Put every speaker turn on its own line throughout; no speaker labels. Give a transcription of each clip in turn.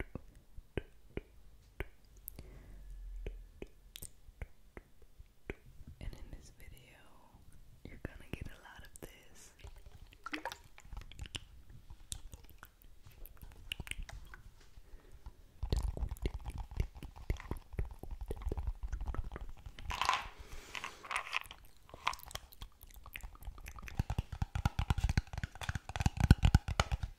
And in this video, you're gonna get a lot of this.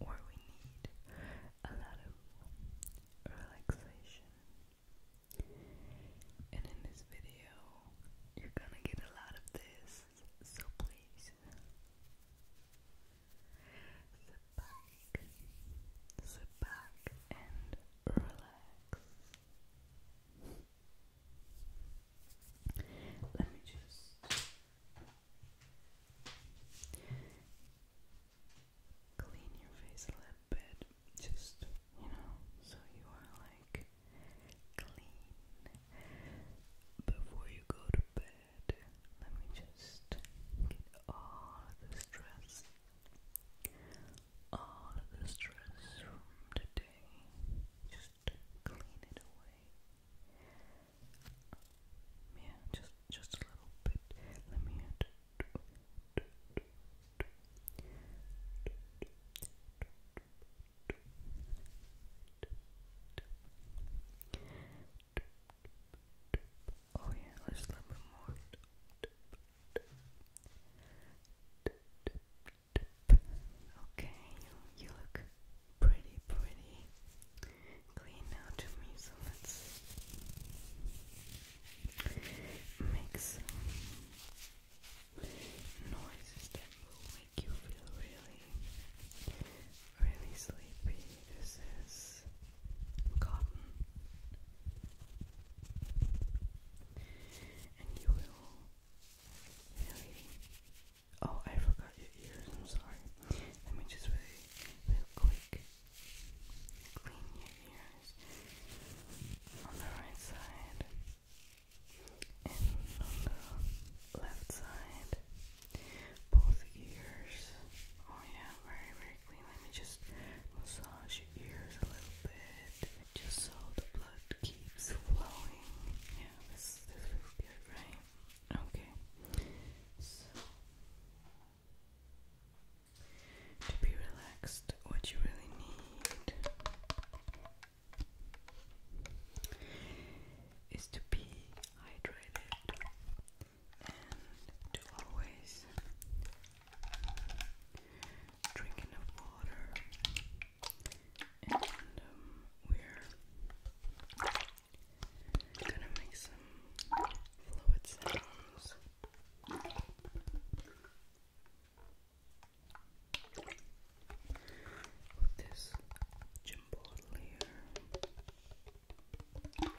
or we need a lot of relaxation. And in this video, you're gonna get a lot of this, so please sit back, sit back, and relax. Let me just Clean your face a little bit, just you know, so you are like clean before you go to bed. Let me just get all the stress, all the stress from the day, clean yeah, just just a little bit. Let me. Oh yeah, a little bit more. Okay, you you look pretty, pretty clean now to me, so let's make some noises that will make you feel really, really sleepy. This is cotton. And you will really Oh, I forgot your ears. I'm sorry. Let me just really, real quick clean your ears on the right side and on the left side. Both ears. Oh, yeah, very, very clean. Let me just massage your ears a little bit just so the blood keeps flowing. Yeah, this, this feels good, right? Okay. So to be relaxed, what you really need is to be hydrated and to always drink enough water. And um, we're I'm gonna make some fluid sounds. With this gym bottle here. Okay.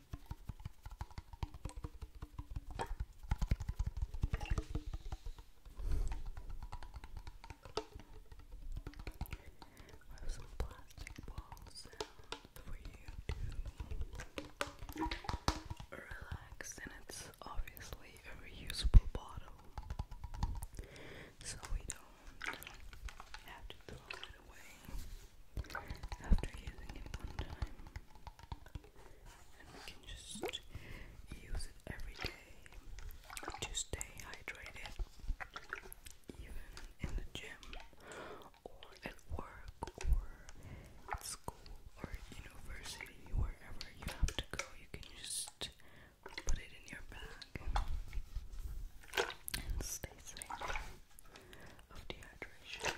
I have some plastic ball sounds for you to relax, and it's obviously a reusable bottle, so we don't have to throw it away after using it one time and we can just use it every day to stay hydrated, even in the gym or at work or at school or university, wherever you have to go, you can just put it in your bag and stay safe of dehydration.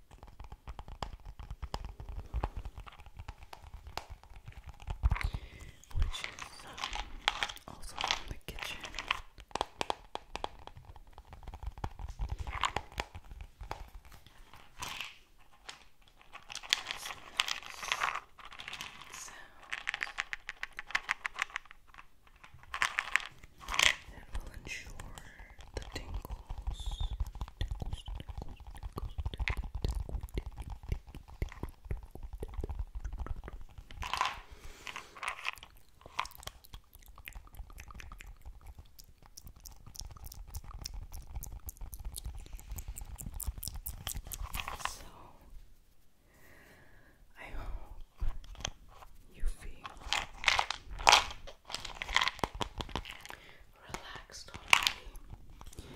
which is uh, also in the kitchen. It will ensure the tingles, So I hope you feel relaxed already.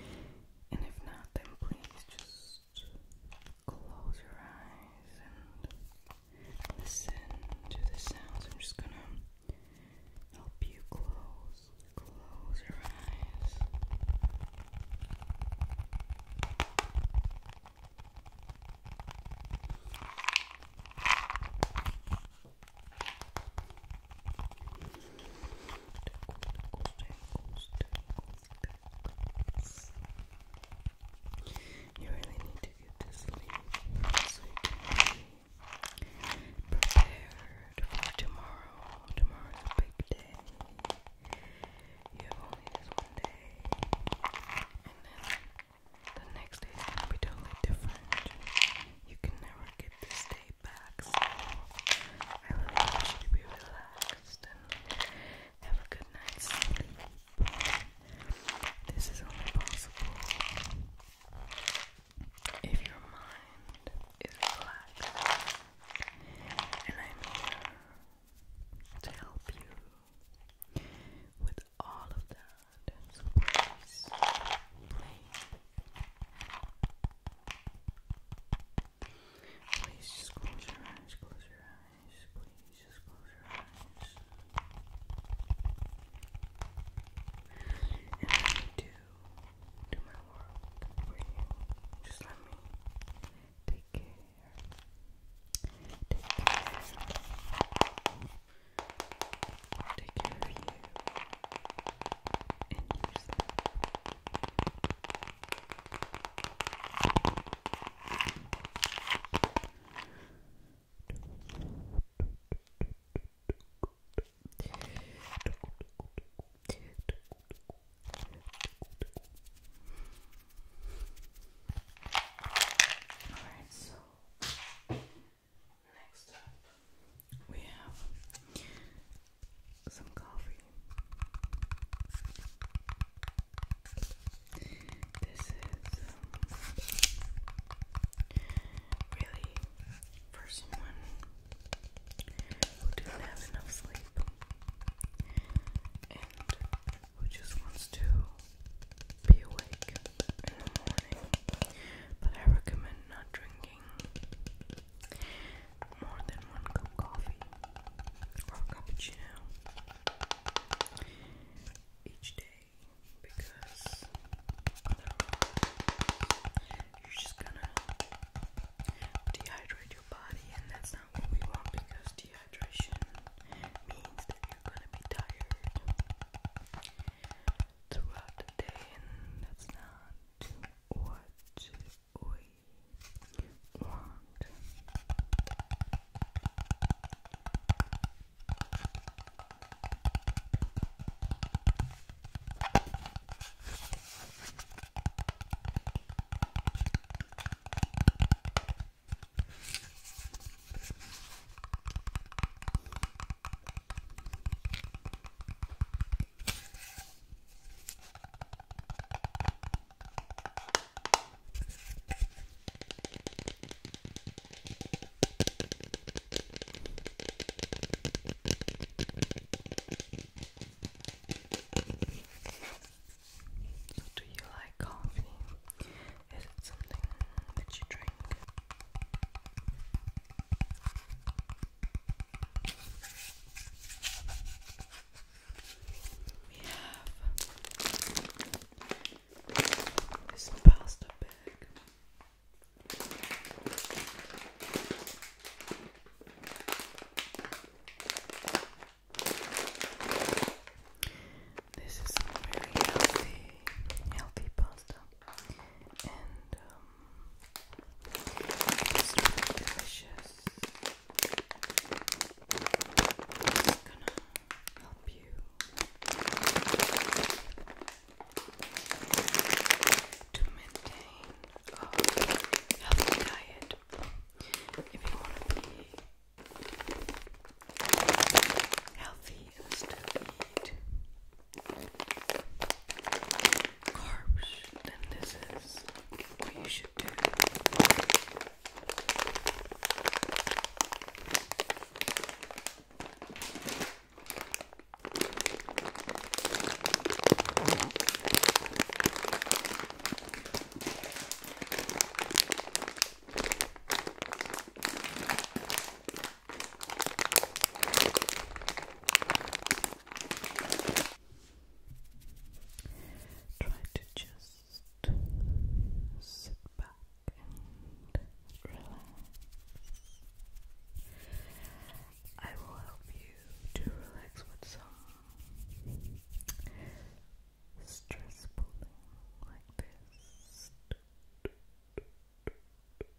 And if not, then please just close your eyes and listen to the sounds. I'm just gonna help you close, close your eyes. You really need to get to sleep so you prepared for tomorrow. Tomorrow's a big day. You have only this one day. And then the next day is be totally different. You can never get this day back. So I really want you to be relaxed and have a good night's sleep. This is only possible if your mind is relaxed. And I'm here to help you with all of that. please, please, just close your eyes, close your eyes, please just close your eyes. And let me do, do my work for you. Just let me take care. Take care. Take care of you and Alright, so Next up, we have some coffee. This is um, really for someone who doesn't have enough sleep and who just wants to be awake in the morning but I recommend not drinking more than one cup of coffee or cappuccino each day because you're just gonna dehydrate your body, and that's not what we want because dehydration means that you're gonna be tired throughout the day that's not what we want. So do you like coffee? Is it something that you drink? We have this pasta bag. This is very healthy, healthy pasta, and um, it's really delicious. It's gonna help you to maintain a healthy diet if you want to be healthy and still eat carbs, then this is what you should do. Try to just sit back and relax. I will help you to relax with some stress pulling like this.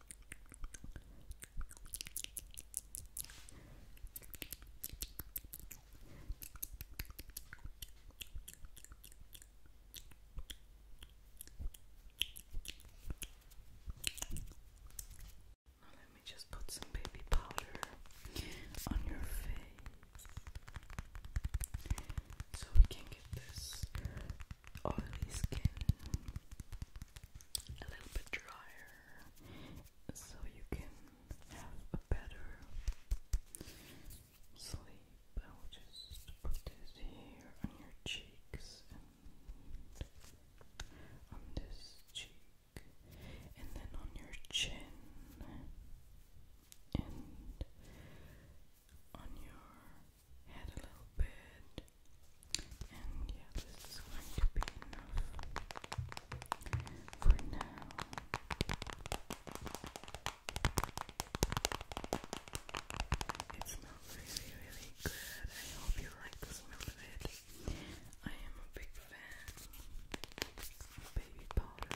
Now let me just put some baby powder on your face so we can get this oily skin a little bit drier so you can have a better sleep. I will just put this here on your cheeks and on this cheek and then on your chin and on your head a little bit. And yeah, this is going to be enough for now. It smells really, really good. I hope you like the smell of it. I am a big fan of baby powder.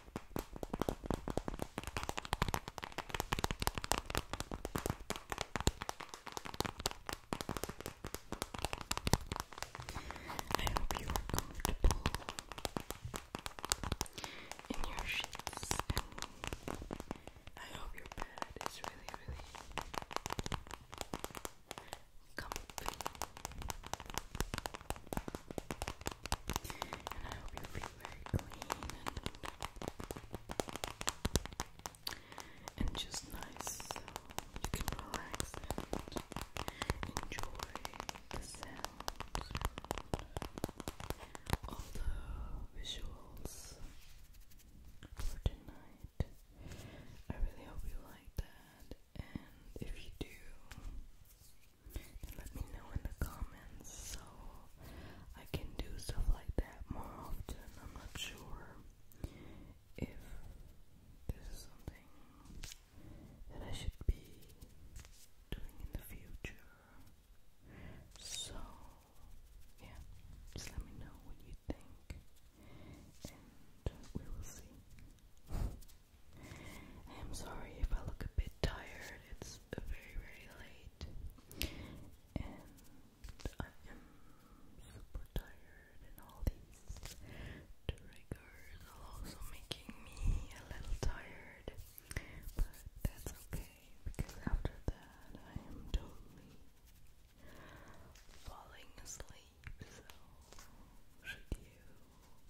I hope you are comfortable in your sheets, and I hope your bed is really, really comfy. And I hope you feel very clean and, just nice so you can relax and enjoy the sounds, all the visuals for tonight. I really hope you like that, and if you do, let me know in the comments so I can do stuff like that more often. I'm not sure if this is something that I should be doing in the future. So, yeah, just let me know what you think, and we will see. I am sorry if I look a bit tired. It's very, very late. And I am super tired, and all these triggers are also making me a little tired. But that's okay, because after that, I am totally falling asleep. So, should you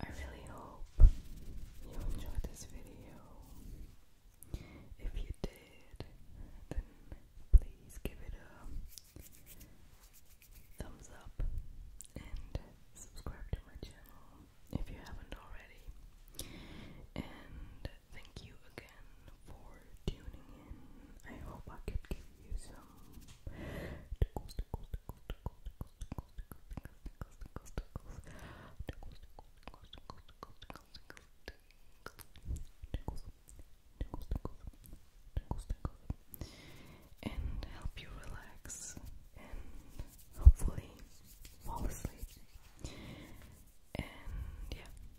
I really hope you enjoyed this video. If you did, then please give it a thumbs up and subscribe to my channel if you haven't already. And thank you again for tuning in. I hope I could give you some and help you relax and hopefully fall asleep. And yeah,